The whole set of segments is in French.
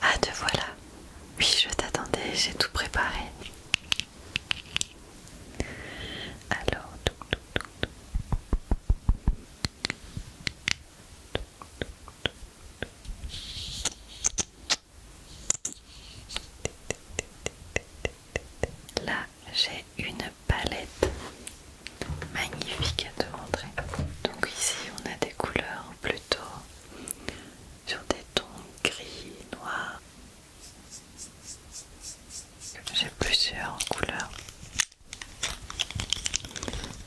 Ah te voilà Oui je t'attendais, j'ai tout préparé. Alors Là, j'ai une palette magnifique à te montrer. Donc ici, on a des couleurs plutôt sur des tons gris, noir. J'ai plusieurs couleurs.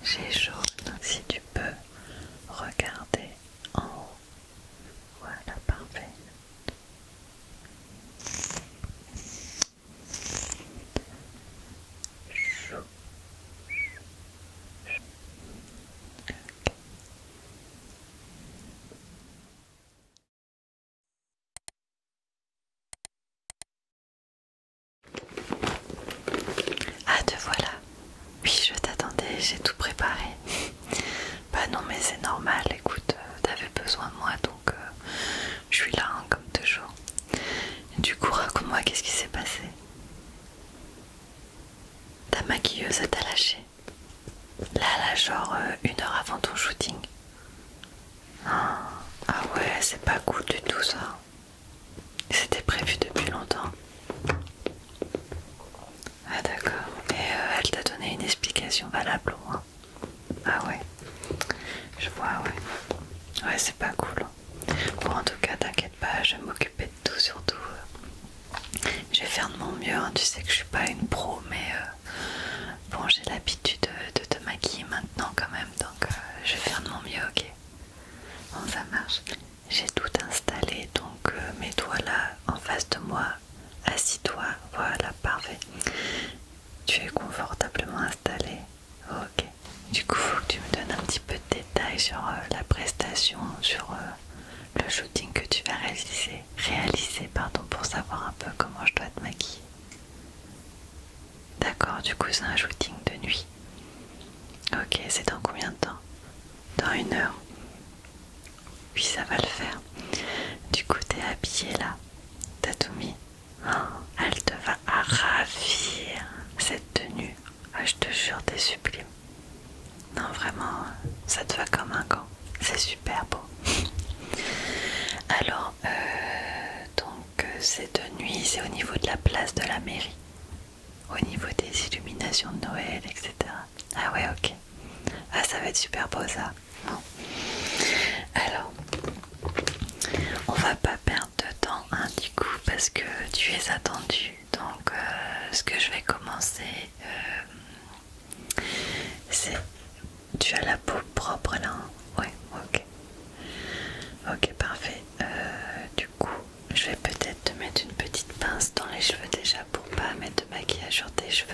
J'ai jaune, si tu peux regarder en haut. Voilà, parfait. Ah te voilà Oui je t'attendais, j'ai tout préparé. bah non mais c'est normal, écoute, euh, t'avais besoin de moi donc euh, je suis là hein, comme toujours. du coup raconte-moi qu'est-ce qui s'est passé. Ta maquilleuse t'a lâché. Là, là, genre euh, une heure avant ton shooting. Ah, ah, ouais, c'est pas cool du tout ça. C'était prévu depuis longtemps. Ah d'accord. Et euh, elle t'a donné une explication valable au moins. Ah ouais. Je vois, ouais. Ouais, c'est pas cool. Bon, en tout cas, t'inquiète pas, je m'occupe de tout, surtout. je vais faire de mon mieux, hein. tu sais que je suis pas une pro, mais euh, bon, j'ai l'habitude de, te maquiller maintenant quand même, donc euh, je vais faire de mon mieux, ok Bon, ça marche. J'ai tout installé, donc euh, mets-toi là, en face de moi, assis-toi, voilà, parfait. Tu es confortablement installé, ok du coup, faut que tu me donnes un petit peu de détails sur euh, la prestation, sur euh, le shooting que tu vas réaliser, réaliser pardon, pour savoir un peu comment je dois te maquiller. D'accord, du coup c'est un shooting de nuit. Ok, c'est dans combien de temps Dans une heure. Oui, ça va le faire. Du coup, t'es habillée là. T'as tout mis. Oh, elle te va à ravir cette tenue. Ah, je te jure, t'es sublime. Non, vraiment, ça te va comme un gant. C'est super beau. Alors, euh, donc, euh, c'est de nuit, c'est au niveau de la place de la mairie. Au niveau des illuminations de Noël, etc. Ah ouais, ok. Ah, ça va être super beau ça. Alors, on va pas perdre de temps hein, du coup parce que tu es attendu donc euh, ce que je vais commencer, euh, c'est... Tu as la peau propre là hein? ouais Oui, ok. Ok, parfait. Euh, du coup, je vais peut-être te mettre une petite pince dans les cheveux déjà pour pas mettre de maquillage sur tes cheveux.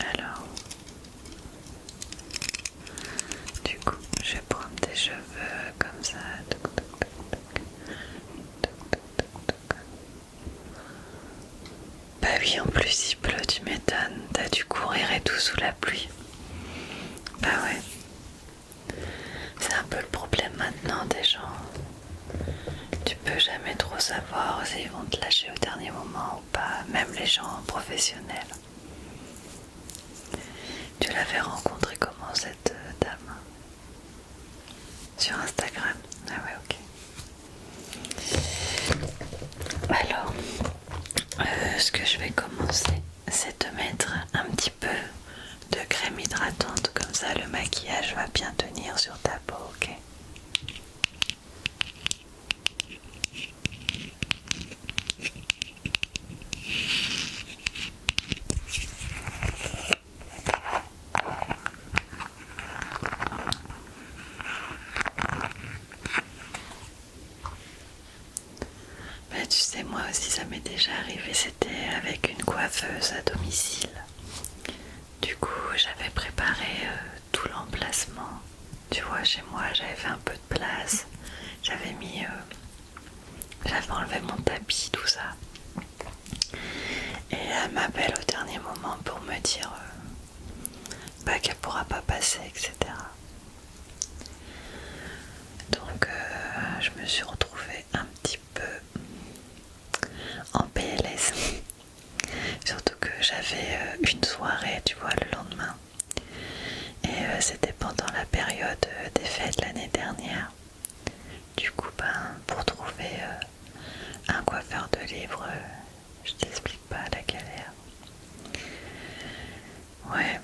Alors, du coup, je vais prendre tes cheveux comme ça. Bah oui, en plus il pleut, tu m'étonnes. T'as dû courir et tout sous la pluie. Bah ouais. C'est un peu le problème maintenant des gens. Tu peux jamais trop savoir s'ils vont te lâcher au dernier moment ou pas, même les gens professionnels. Tu l'avais rencontré comment cette euh, dame Sur Instagram Ah ouais, ok. Alors, euh, ce que je vais commencer, c'est de mettre un petit peu de crème hydratante, comme ça le maquillage va bien tenir sur ta peau, ok bah, tu sais, moi aussi ça m'est déjà arrivé, c'était avec une coiffeuse à domicile. Du coup, j'avais préparé euh, tout l'emplacement. Tu vois, chez moi, j'avais fait un peu de place. J'avais mis. Euh, j'avais enlevé mon tapis, tout ça. Et elle m'appelle au dernier moment pour me dire euh, bah, qu'elle ne pourra pas passer, etc. Donc, je me suis retrouvée un petit peu en PLS. Surtout que j'avais euh, une soirée, tu vois, le lendemain. Et euh, c'était pendant la période euh, des fêtes l'année dernière. Du coup, ben, pour trouver un coiffeur de livres, je t'explique pas la galère. Ouais.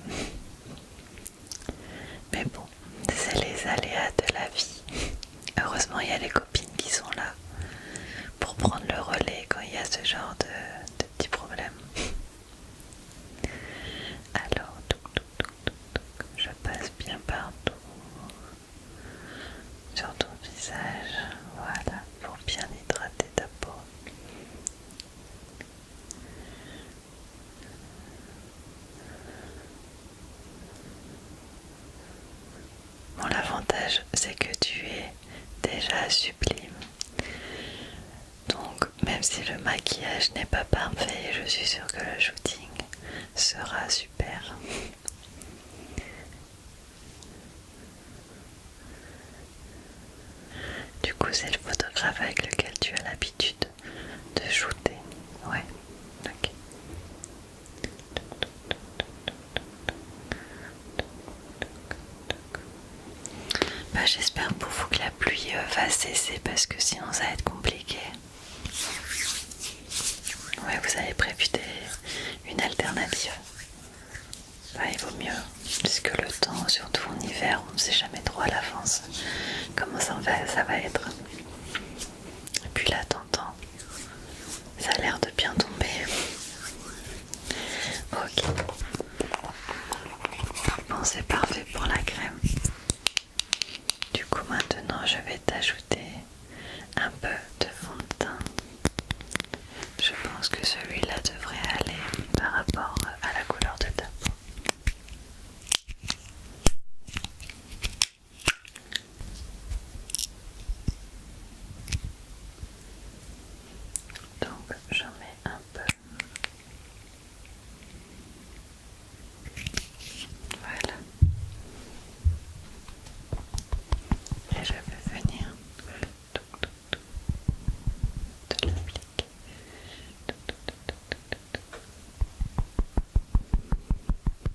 Mais bon, c'est les aléas de la vie. Heureusement, il y a les copines qui sont là pour prendre le relais quand il y a ce genre de, petits problèmes. Alors, je passe bien partout sur ton visage, voilà, pour bien hydrater ta peau. Bon, l'avantage, c'est que tu es déjà sublime. Donc, même si le maquillage n'est pas parfait, je suis sûre que le shooting sera super. Du coup, c'est le photographe avec lequel tu as l'habitude de shooter. Ouais, ok. Bah, j'espère pour vous que la pluie euh, va cesser parce que sinon ça va être compliqué. Ouais, vous avez prévu une alternative. Bah, il vaut mieux, puisque le temps, surtout en hiver, on ne sait jamais trop à l'avance comment ça va, être. Et puis là, t'entends ça a l'air de bien tomber. Ok. Bon, c'est parfait pour la crème. Du coup, maintenant, je vais t'ajouter un peu de fond de teint. Je pense que celui-là devrait aller par rapport à la couleur de ta donc j'en mets un peu. Voilà. Et je vais venir tout, de l'appliquer.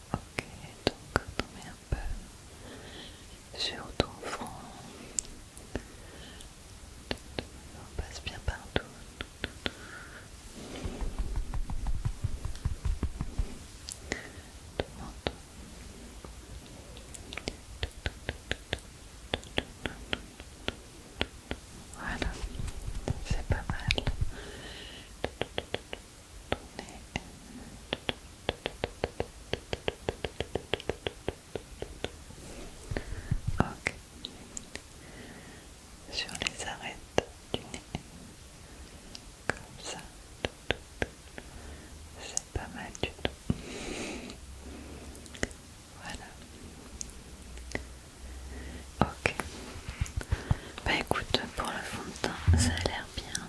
Ok, donc on met un peu sur ton front. On passe bien partout. Voilà, c'est pas mal. Ok. Sur les arêtes du nez. Comme ça. C'est pas mal du tout. Voilà. Ok. Bah écoute, pour le fond de teint, ça a l'air bien.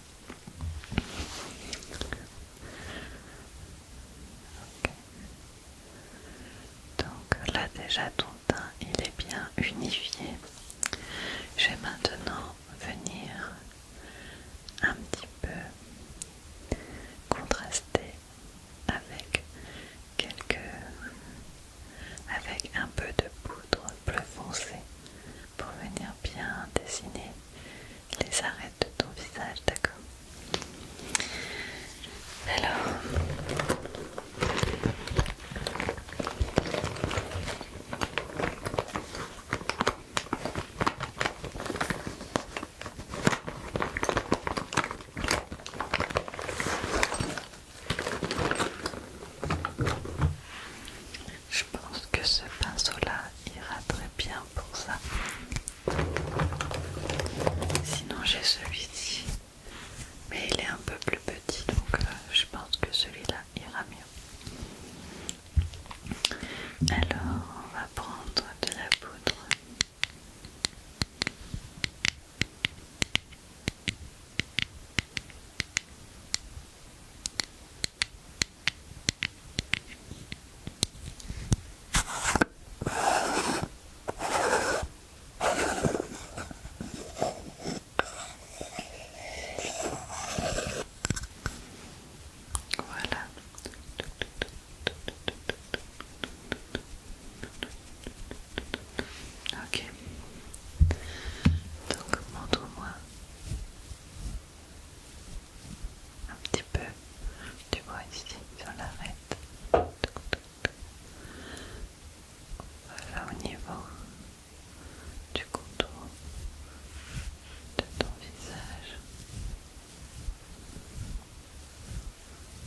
Donc là déjà ton teint il est bien unifié. Je vais maintenant venir un petit peu contraster avec quelques avec un peu de poudre plus foncée pour venir bien dessiner les arêtes de ton visage, d'accord Alors... Je pense que ce pinceau-là ira très bien pour ça. Sinon j'ai celui-ci, mais il est un peu plus petit, donc euh, je pense que celui-là ira mieux. Alors on va prendre de la poudre. Voilà. Ok. Donc montre-moi un petit peu du vois ici sur l'arête. Voilà au niveau du contour de ton visage.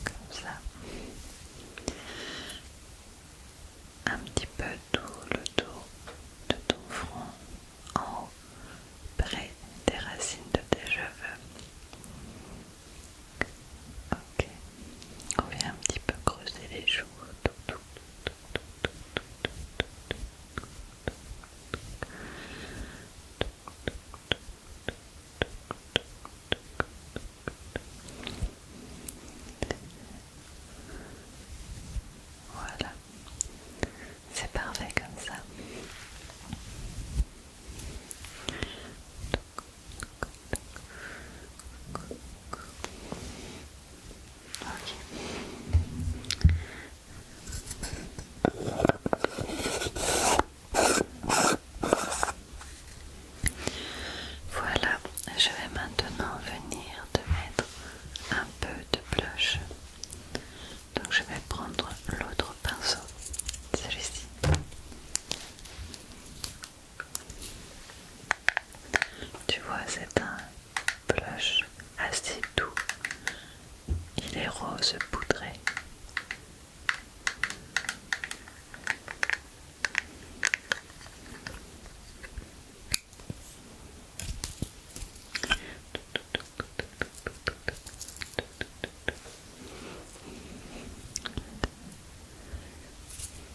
Comme ça un petit peu tout le dos de ton front en haut, près des racines de tes cheveux. Ok, on vient un petit peu creuser les joues. Voilà, c'est parfait comme ça. Voilà, je vais maintenant venir te mettre un un peu de blush. Donc je vais prendre l'autre pinceau, celui-ci. Tu vois, c'est un blush assez doux. Il est rose poudré.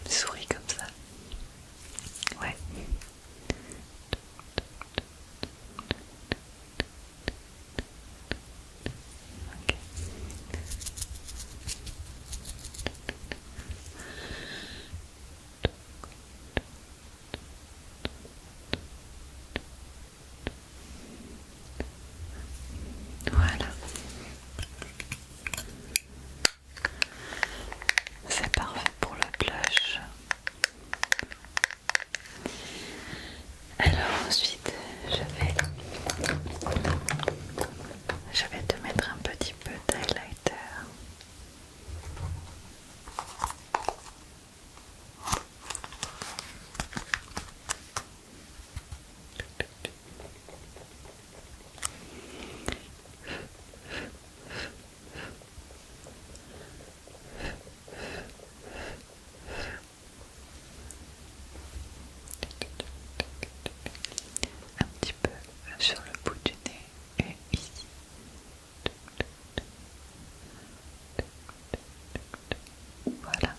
Souris comme ça. Ouais. Okay. Voilà. C'est parfait pour le blush. Alors ensuite, je vais je vais te mettre un petit peu d'highlighter. Un petit peu sur le bout du nez et ici. Voilà.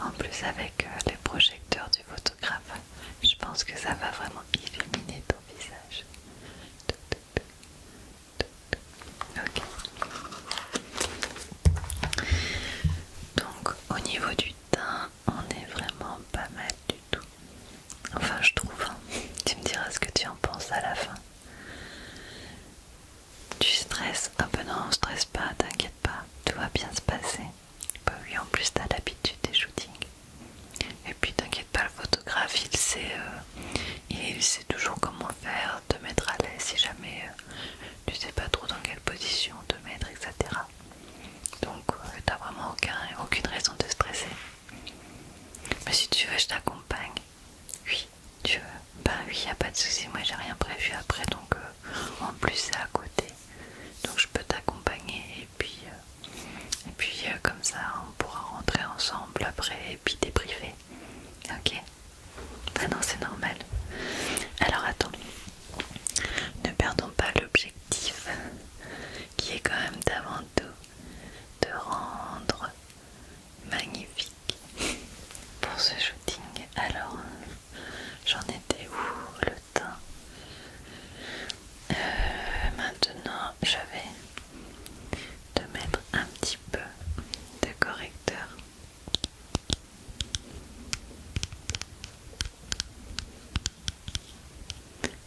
En plus avec euh, les projecteurs du photographe, je pense que ça va vraiment illuminer ton visage. Donc au niveau du teint, on est vraiment pas mal du tout. Enfin, je trouve. Hein. Tu me diras ce que tu en penses à la fin. Tu stresses un ah ben peu non, stresse pas, t'inquiète pas, tout va bien se passer. Bah oui, en plus t'as l'habitude des shootings. Et puis t'inquiète pas, le photographe, il sait, euh, toujours comment faire, te mettre à l'aise si jamais euh, tu sais pas trop dans quelle position te mettre, etc. Donc tu euh, t'as vraiment aucune raison de stresser. Mais bah, si tu veux, je t'accompagne. Oui, tu veux. Ben oui, y a pas de souci. Moi, j'ai rien prévu après, donc euh, en plus c'est à côté, donc je peux t'accompagner et puis euh, et puis euh, comme ça, on pourra rentrer ensemble après et puis débriefer. Ok. Ben non, c'est normal. Alors attends, ne perdons pas l'objectif qui est quand même d'avant tout de rendre magnifique pour ce shooting. Alors, j'en étais où le teint euh, Maintenant, je vais te mettre un petit peu de correcteur.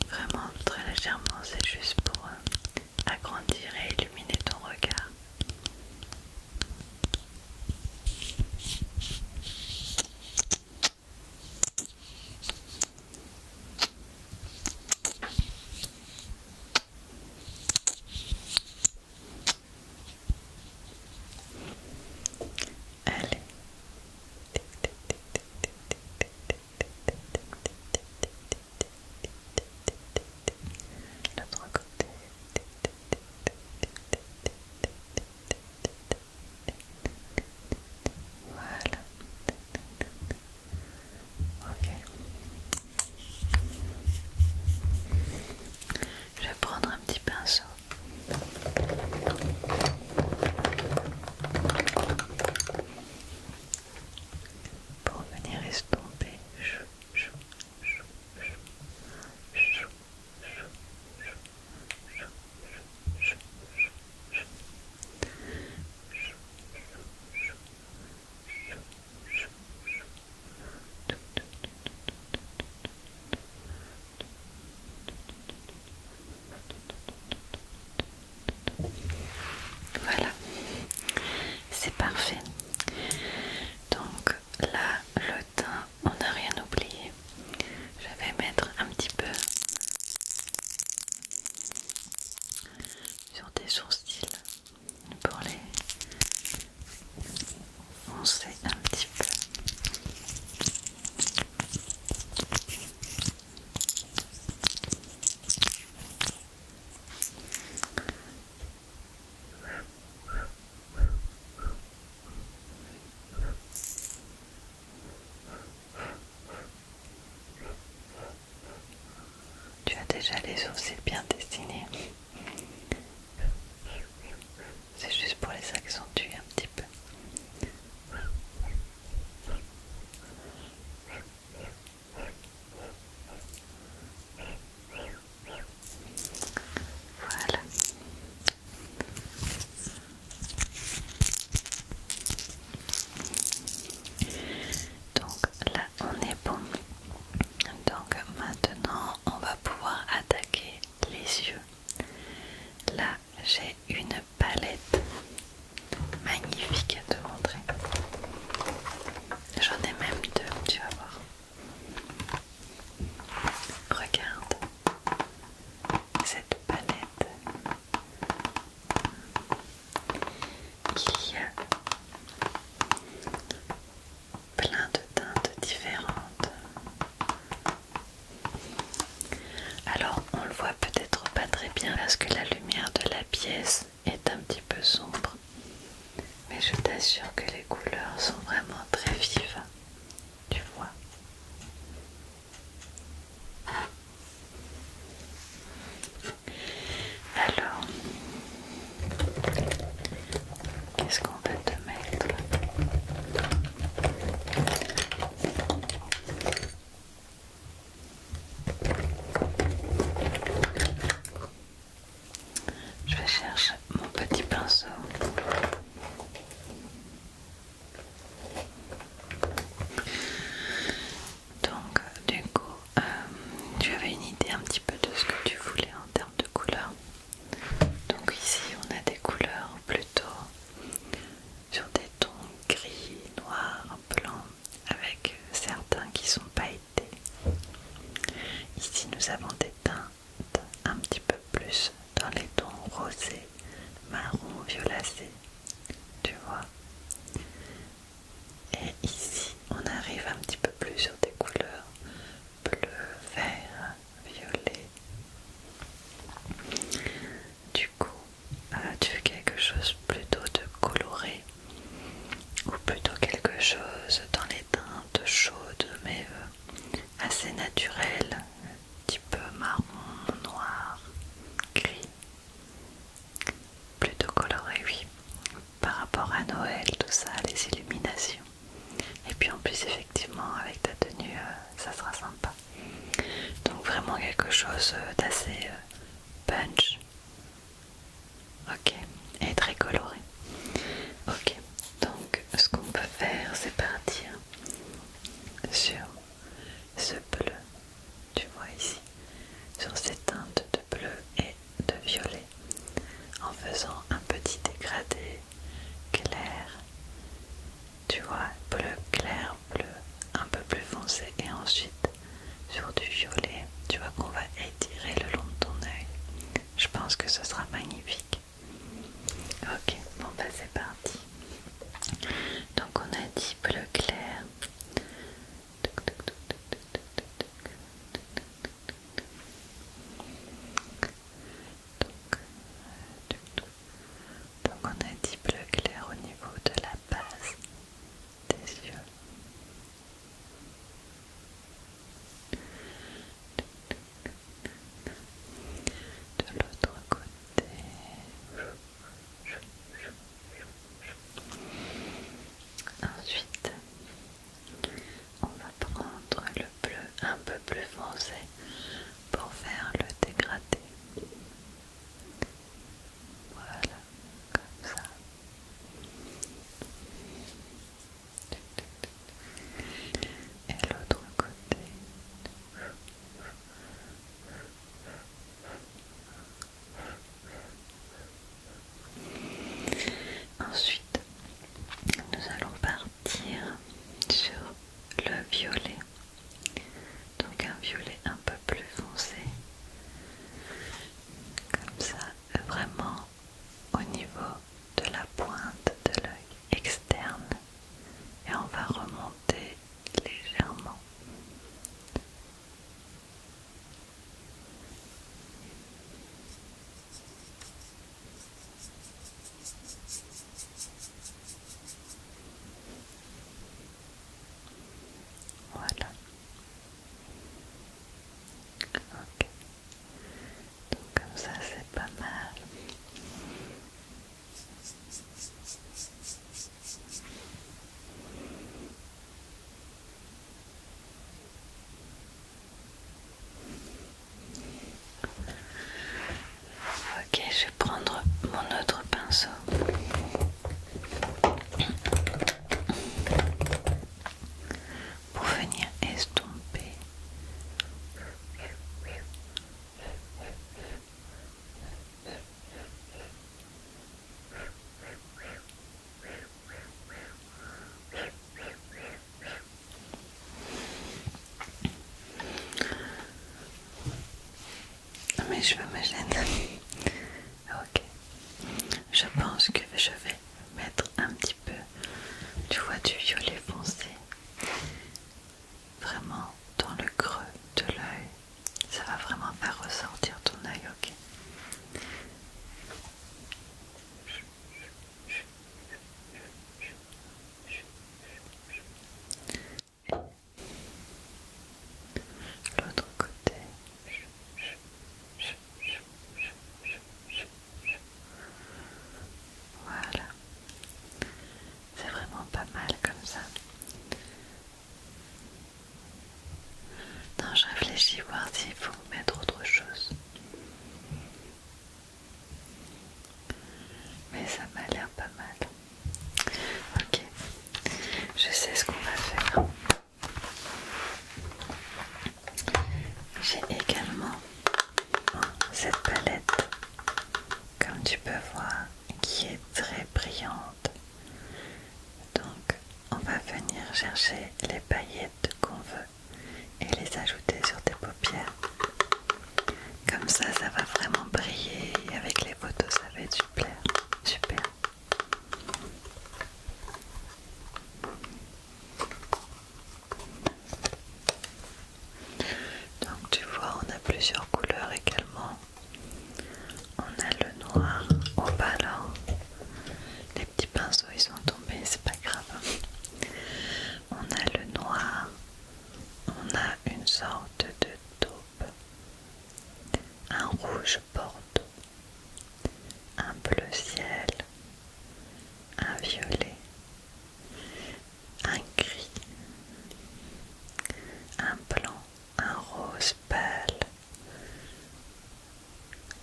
Vraiment très légèrement, c'est juste pour euh, agrandir et illuminer ton regard. Allez. L'autre côté. Voilà. Ok. Je vais prendre un petit pinceau pour venir estomper voilà, c'est parfait. Donc là, le teint, on n'a rien oublié. Je vais mettre un petit peu sur tes sourcils pour les foncer un petit peu. Tu as déjà les sourcils bien destiné. C'est juste pour les accentuer un petit peu. Voilà. Donc là on est bon. Donc maintenant on va pouvoir attaquer les yeux. Là j'ai une palette magnifique à te montrer. J'en ai même deux, tu vas voir. Regarde cette palette. Il y a plein de teintes différentes. Alors on le voit peut-être pas très bien parce que la lumière de la pièce est un petit peu sombre, mais je t'assure que les couleurs sont vraiment très vives, tu vois. Alors, qu'est-ce qu'on va te mettre je vais chercher mon petit pinceau. Donc du coup, euh, tu avais une idée un petit peu de ce que tu voulais en termes de couleurs. Donc ici, on a des couleurs plutôt sur des tons gris, noirs, blanc avec certains qui sont été Ici nous avons des teintes un petit peu plus dans les tons rosés, marron, violacé, tu vois. Et ici on arrive un petit peu plus sur des couleurs bleu, vert, violet. Du coup, as euh, tu quelque chose plutôt de coloré ou plutôt quelque chose dans les teintes chaudes mais euh, assez naturelles, un petit peu marron, noir, gris, plutôt coloré oui, par rapport à Noël, tout ça, les illuminations. Et puis en plus effectivement avec ta tenue euh, ça sera sympa. Donc vraiment quelque chose euh, d'assez punch Ok, et très coloré. Ok, donc ce qu'on peut faire, c'est partir sur ce bleu, tu vois ici, sur ces teintes de bleu et de violet, en faisant un petit dégradé clair, tu vois, bleu clair, bleu un peu plus foncé, et ensuite sur du violet. Tu vois qu'on va étirer le long de ton oeil. Je pense que ce sera magnifique. Ok, bon bah c'est parti. Donc on a dit bleu clair. Donc euh, euh, on a dit bleu clair au niveau de la base des yeux de l'autre côté ensuite on va prendre le bleu un peu plus foncé pour faire le dégradé voilà, comme ça. Et l'autre côté. Ensuite, nous allons partir sur le violet. Donc un violet un peu plus foncé. Comme ça, vraiment au niveau de la pointe de l'œil externe et on va remonter légèrement. Voilà. Ok. Donc comme ça c'est pas mal. Ok, je vais prendre mon autre pinceau pour venir estomper Mais je me gênent Ok. Je pense que je vais mettre un petit peu, tu vois, du violet foncé. Vraiment dans le creux de l'œil. Ça va vraiment faire ressortir ton œil, ok L'autre côté. Voilà. C'est vraiment pas mal comme ça. Non, je réfléchis voir s'il faut mettre autre chose. Mais ça m'a l'air pas mal. Ok, je sais ce qu'on va faire. J'ai également cette palette, comme tu peux voir, qui est très brillante. Donc, on va venir chercher les paillettes qu'on veut et les ajouter sur tes paupières. Comme ça, ça va vraiment briller avec les photos, ça va être super. Super. Donc tu vois, on a plusieurs couleurs également. On a le noir au bah alors, Les petits pinceaux ils sont tombés, c'est pas grave. On a le noir. On a une sorte de taupe. Un rouge un bleu ciel, un violet, un gris, un blanc, un rose pâle,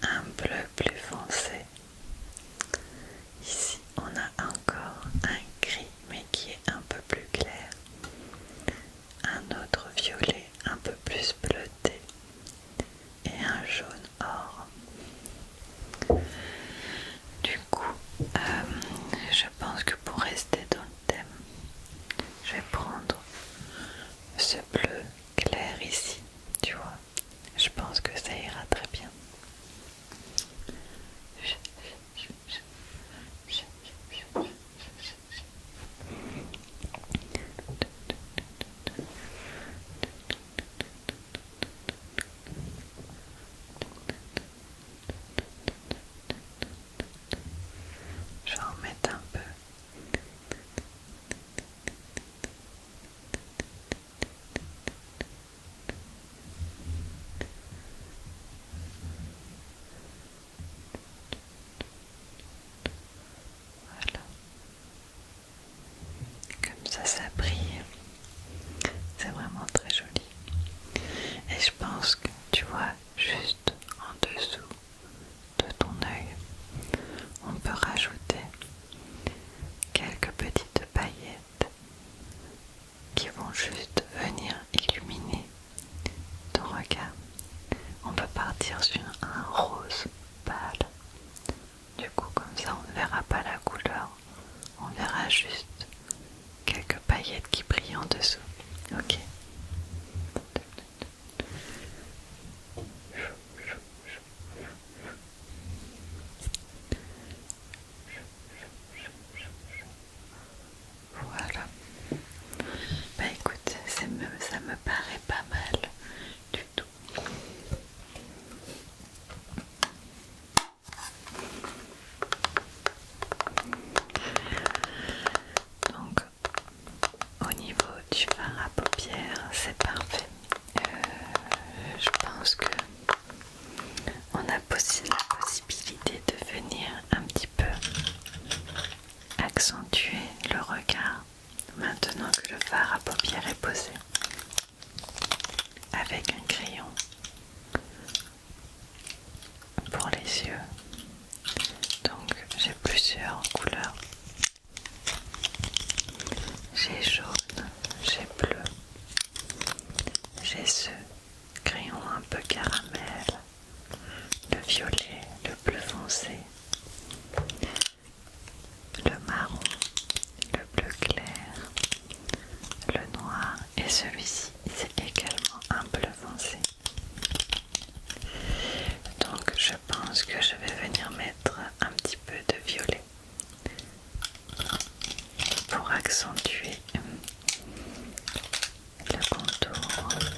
un bleu plus foncé. Ici, on a encore un gris mais qui est un peu plus clair. Un autre violet un peu plus bleuté et un jaune or. Du coup, euh, je pense que pour rester dans le thème, je vais prendre ce bleu clair ici, tu vois. Je pense que ça ira très bien. Je vais en mettre un peu. Voilà. Comme ça, ça brille. C'est vraiment très joli. Et je pense que tu vois, juste en dessous de ton œil, on peut rajouter quelques petites paillettes qui vont juste venir illuminer ton regard. On peut partir sur un rose pâle du coup, comme ça, on ne verra pas la couleur. On verra juste quelques paillettes qui brillent en dessous. Ok. Voilà. Bah écoute, ça me paraît pas mal du tout. Donc au niveau du fard à paupières, c'est parfait. Euh, je pense que on a la possibilité de venir un petit peu accentuer le regard maintenant que le fard à paupières est posé avec un crayon pour les yeux donc j'ai plusieurs couleurs j'ai jaune j'ai bleu j'ai ce crayon un peu caramel le violet le bleu foncé le marron, le bleu clair, le noir et celui-ci c'est également un bleu foncé. Donc je pense que je vais venir mettre un petit peu de violet pour accentuer le contour.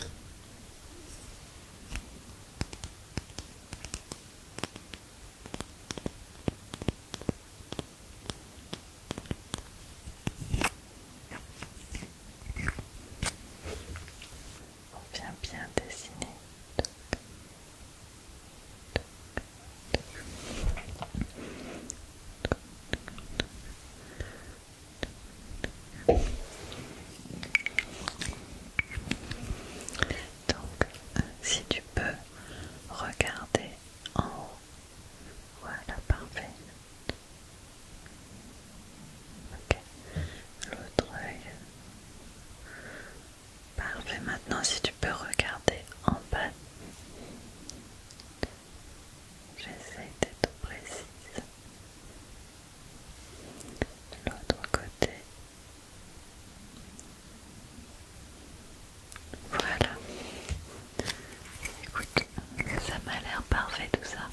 On vient bien dessiner. Donc, si tu peux regarder en haut, voilà, parfait. Ok, l'autre œil. Parfait, maintenant si tu peux regarder en bas. J'essaie d'être précise. L'autre côté voilà. Écoute, ça m'a l'air parfait tout ça.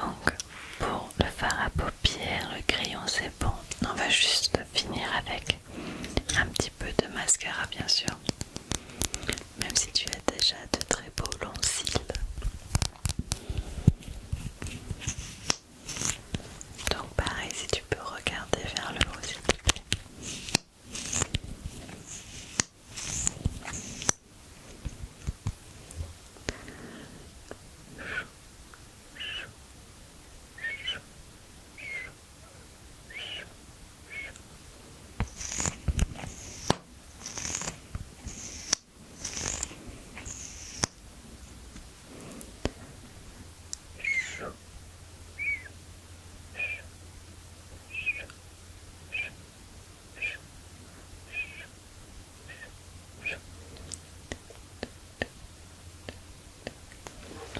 Donc, pour le fard à paupières, le crayon c'est bon. On va juste finir avec un petit peu de mascara bien sûr. Même si tu as déjà de très beaux longs cils. Donc pareil, si tu peux regarder vers le haut, s'il te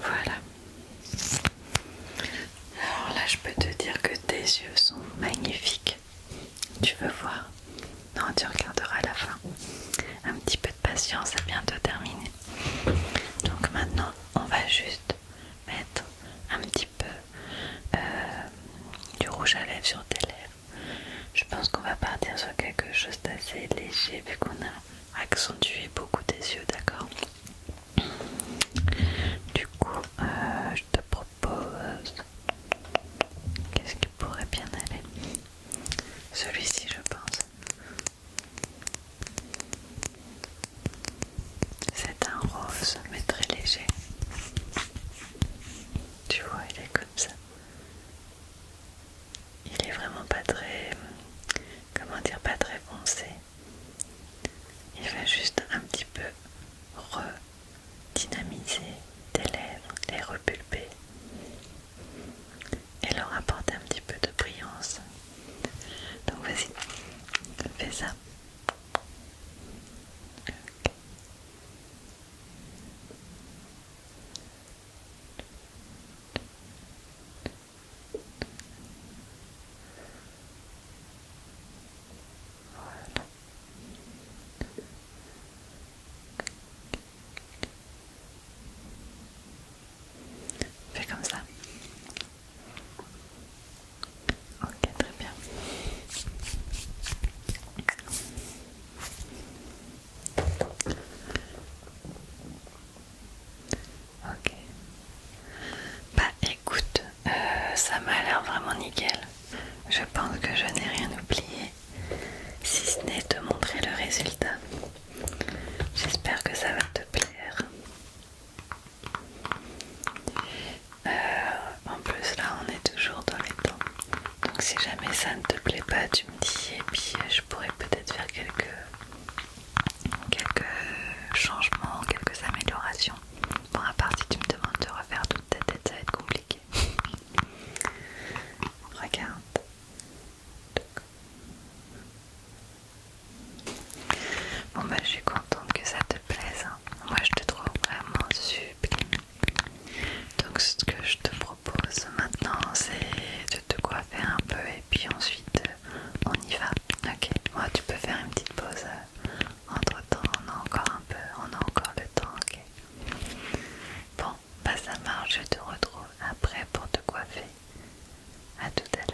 voilà. Alors là, je peux te dire que tes yeux sont magnifiques. Tu veux voir non, tu regarderas à la fin. Un petit peu de patience, c'est bientôt terminé. Donc maintenant, on va juste mettre un petit peu euh, du rouge à lèvres sur tes lèvres. Je pense qu'on va partir sur quelque chose d'assez léger vu qu'on a accentué beaucoup tes yeux, d'accord Du coup, euh, je te propose... Qu'est-ce qui pourrait bien aller celui-ci, je pense. C'est un rose, mais très léger. Tu vois, il est comme ça. Il est vraiment pas très. Comment dire, pas très foncé. Il va juste un petit peu redynamiser tes lèvres, et repulper et leur apporter un petit peu de brillance. Donc vas-y, fais ça. Fais comme ça. Ok, très bien. Ok. Bah écoute, euh, ça m'a l'air vraiment nickel. Je pense que je n'ai rien oublié si ce n'est de montrer le résultat. J'espère que ça va te plaire. Euh, en plus là on est toujours dans les temps. Donc si jamais ça ne te plaît pas tu me dis et puis euh, je pourrais peut-être faire quelques, quelques changements, quelques améliorations. Bon à part tu me demandes de refaire toute ta tête ça va être compliqué. Regarde. Bon bah je suis contente que ça te plaise. Hein. Moi je te trouve vraiment sublime. Donc ce que je te propose maintenant c'est de te coiffer un peu et puis ensuite euh, on y va. Ok, moi tu peux faire une petite pause. Euh, Entre temps on a encore un peu, on a encore le temps, ok. Bon, pas ça marche, je te retrouve après pour te coiffer. À tout à l'heure.